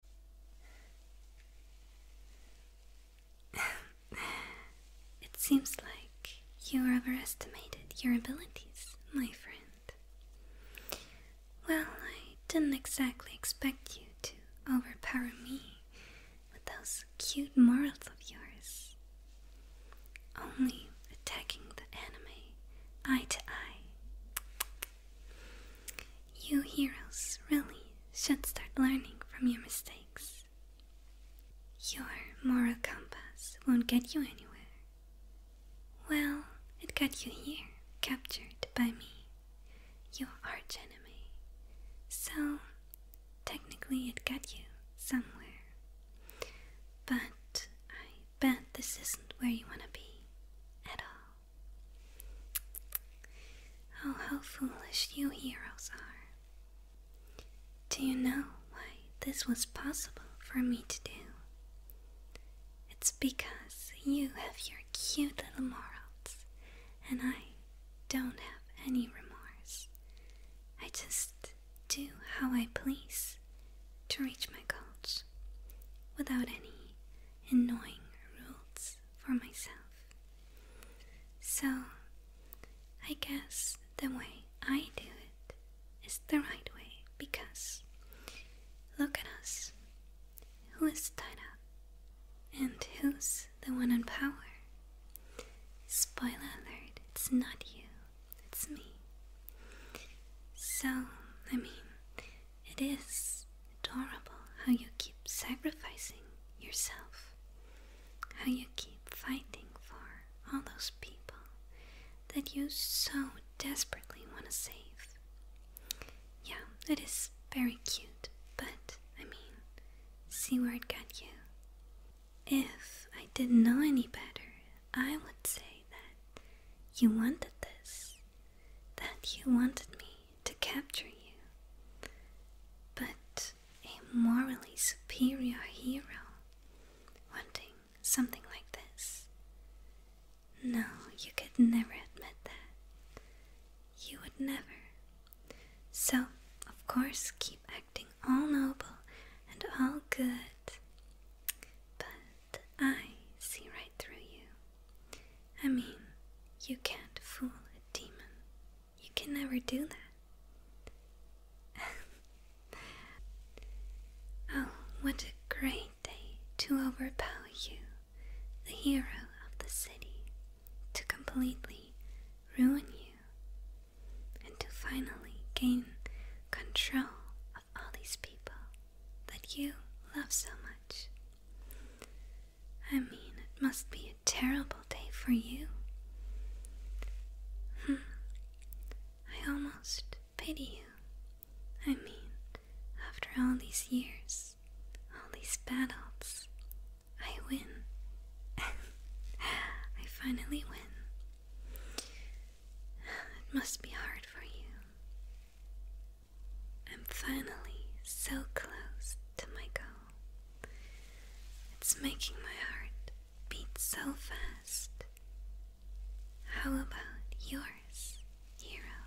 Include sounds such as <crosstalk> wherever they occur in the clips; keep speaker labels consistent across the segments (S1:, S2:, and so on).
S1: <sighs> it seems like you overestimated your abilities, my friend. Well, I didn't exactly expect you to overpower me with those cute morals of yours. Only attacking the enemy eye to eye. You heroes really should start learning from your mistakes. Your moral compass won't get you anywhere. Well, it got you here, captured by me, your archenemy. So, technically, it got you somewhere. But I bet this isn't where you want to be at all. Oh, how foolish you heroes are. Do you know why this was possible for me to do? It's because you have your cute little morals, and I don't have any remorse. I just do how I please to reach my goals without any knowing rules for myself. So, I guess the way I do it is the right way because look at us. Who is tied up? And who's the one in power? Spoiler alert, it's not you, it's me. So, I mean, it is adorable how you keep sacrificing yourself, how you keep fighting for all those people that you so desperately want to save. Yeah, it is very cute, but I mean, see where it got you. If I didn't know any better, I would say that you wanted this, that you wanted me to capture you, but a morally superior hero wanting something like this. No, you could never admit that. You would never. So, of course, keep acting all noble and all good. But I see right through you. I mean, you can't fool a demon. You can never do that. <laughs> oh, what a great day to overpower you, the hero of the city, to completely ruin you, and to finally gain control all these people that you love so much. I mean, it must be a terrible day for you. Hmm. I almost pity you. I mean, after all these years, all these battles, I win. <laughs> I finally win. It must be hard for you. I'm finally so close to my goal. It's making my heart beat so fast. How about yours, hero?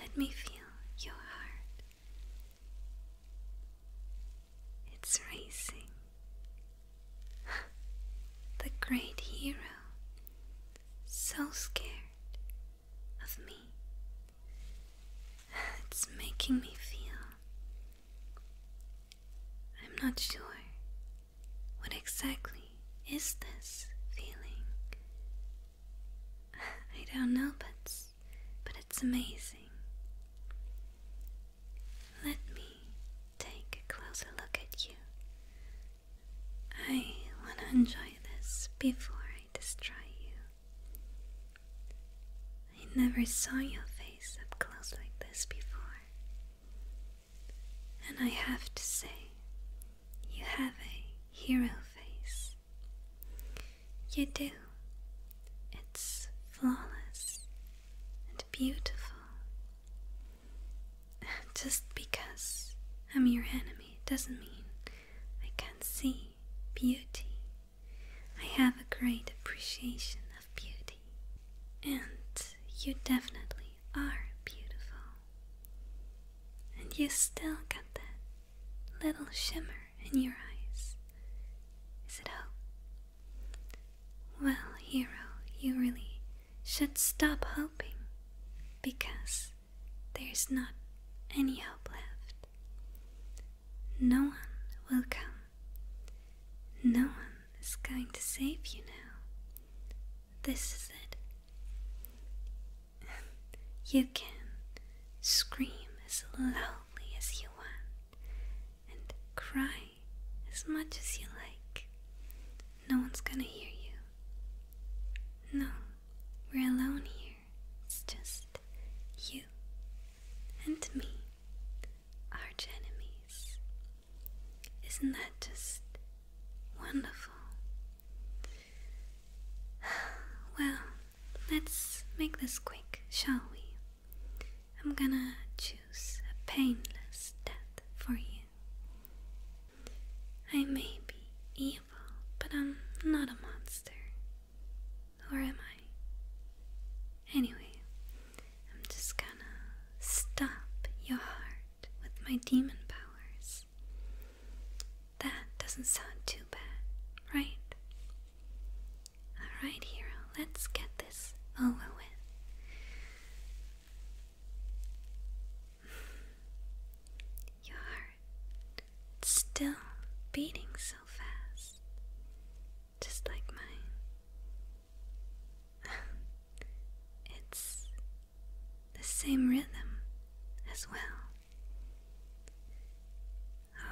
S1: Let me feel your heart. It's racing. <laughs> the great hero so scared of me. It's making me feel. I'm not sure. What exactly is this feeling? I don't know, but, but it's amazing. Let me take a closer look at you. I want to enjoy this before I destroy you. I never saw your face up close like this before. And I have to say, you have a hero face. You do. It's flawless and beautiful. <laughs> Just because I'm your enemy doesn't mean I can't see beauty. I have a great appreciation of beauty, and you definitely are beautiful. And you still got that little shimmer in your eyes. Is it hope? Well, hero, you really should stop hoping because there's not any hope left. No one will come. No one is going to save you now. This is it. <laughs> You can scream as loudly as you want and cry as much as you like. No one's gonna hear you. No, we're alone here. It's just you and me, arch Isn't that just wonderful? <sighs> Well, let's make this quick, shall we? I'm gonna choose a painless death for you. I may be evil, but I'm not a monster. Or am I? Anyway, I'm just gonna stop your heart with my demon powers. That doesn't sound too bad, right? Alright, hero, let's get this over with. Your heart still beating so fast, just like mine. <laughs> it's the same rhythm as well.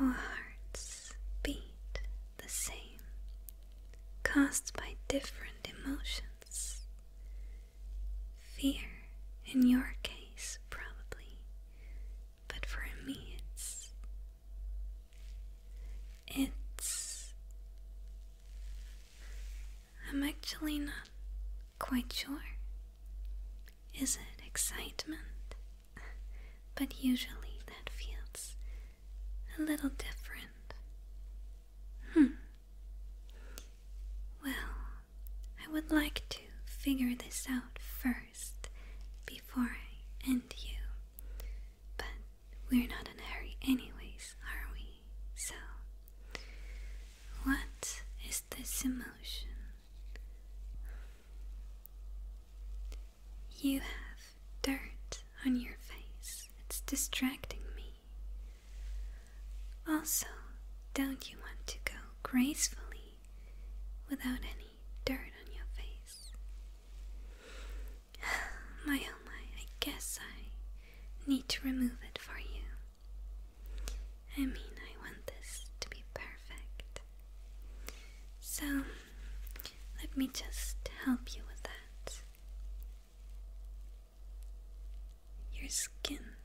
S1: Our hearts beat the same, caused by different emotions. Fear, in your case, probably, but for me, it's. It's. I'm actually not quite sure. Is it excitement? But usually that feels a little different. Hmm. Well, I would like to figure this out first before I end you. But we're not in a hurry, anyways, are we? So, what is this emotion? You have dirt on your face. It's distracting me. Also, don't you want to go gracefully without any dirt on your face? <sighs> My oh my, I guess I need to remove it for you. I mean, I want this to be perfect. So, let me just help you with that. Your skin.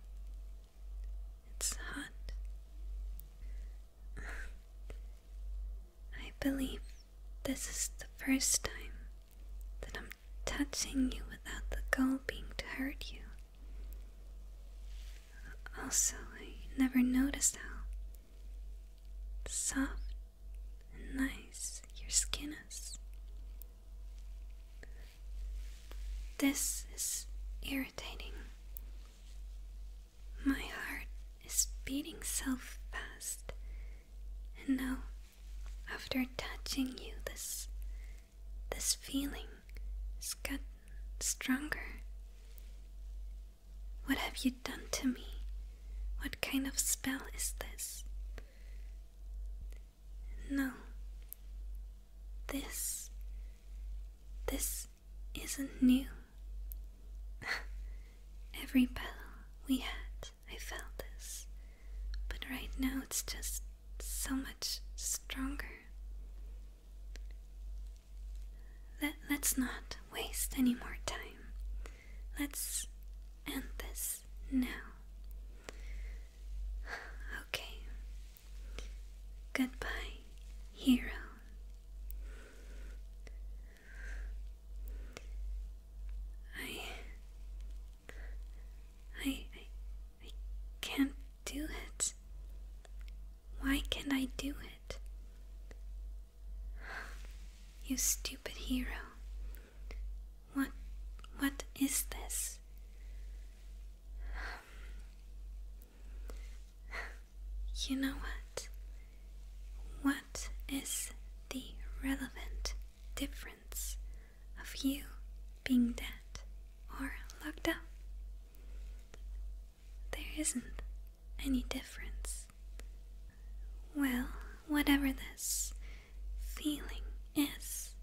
S1: It's hot. I believe this is the first time that I'm touching you without the goal being to hurt you. Also, I never noticed how soft and nice your skin is. This is irritating. My heart is beating so fast, and now, after touching you, this this feeling has got stronger. What have you done to me? What kind of spell is this? No. This. This isn't new. <laughs> Every battle we had, I felt this. But right now it's just so much stronger. Let, let's not waste any more time. Let's end this now. Okay. Goodbye, hero. I. I. I, I can't do it. Why can't I do it? You stupid hero. What what is this? You know what? What is the relevant difference of you being dead or locked up? There isn't any difference. Well, whatever this, feeling is.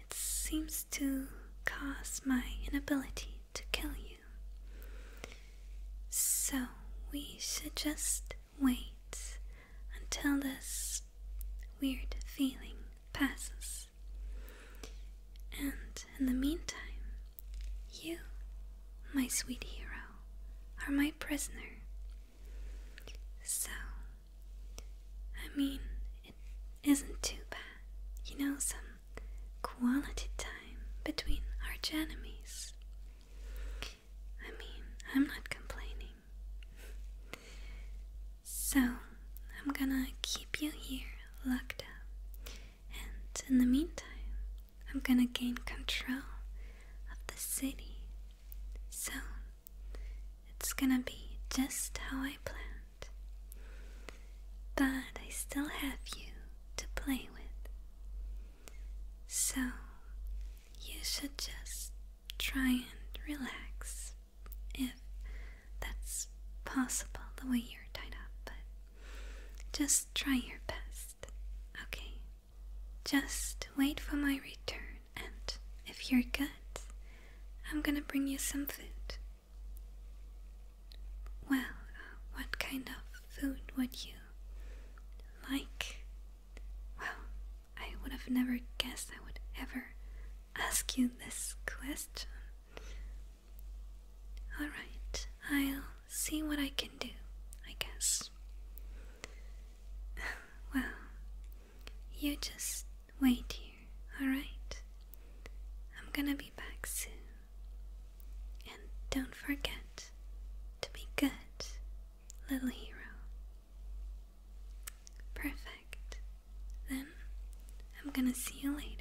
S1: It seems to cause my inability to kill you. So we should just wait until this weird feeling passes. And in the meantime, you, my sweet hero, are my prisoner so, I mean, it isn't too bad. You know, some quality time between arch enemies. I mean, I'm not complaining. So, I'm gonna keep you here locked up. And in the meantime, I'm gonna gain control of the city. So, it's gonna be just how I planned. But I still have you to play with. So you should just try and relax if that's possible the way you're tied up, but just try your best, okay? Just wait for my return, and if you're good, I'm gonna bring you some food. Well, uh, what kind of food would you like? Well, I would have never guessed I would ever ask you this question. Alright, I'll see what I can do, I guess. <sighs> well, you just wait here, alright? I'm gonna be back soon. And don't forget to be good, little hero. Perfect. Then I'm gonna see you later.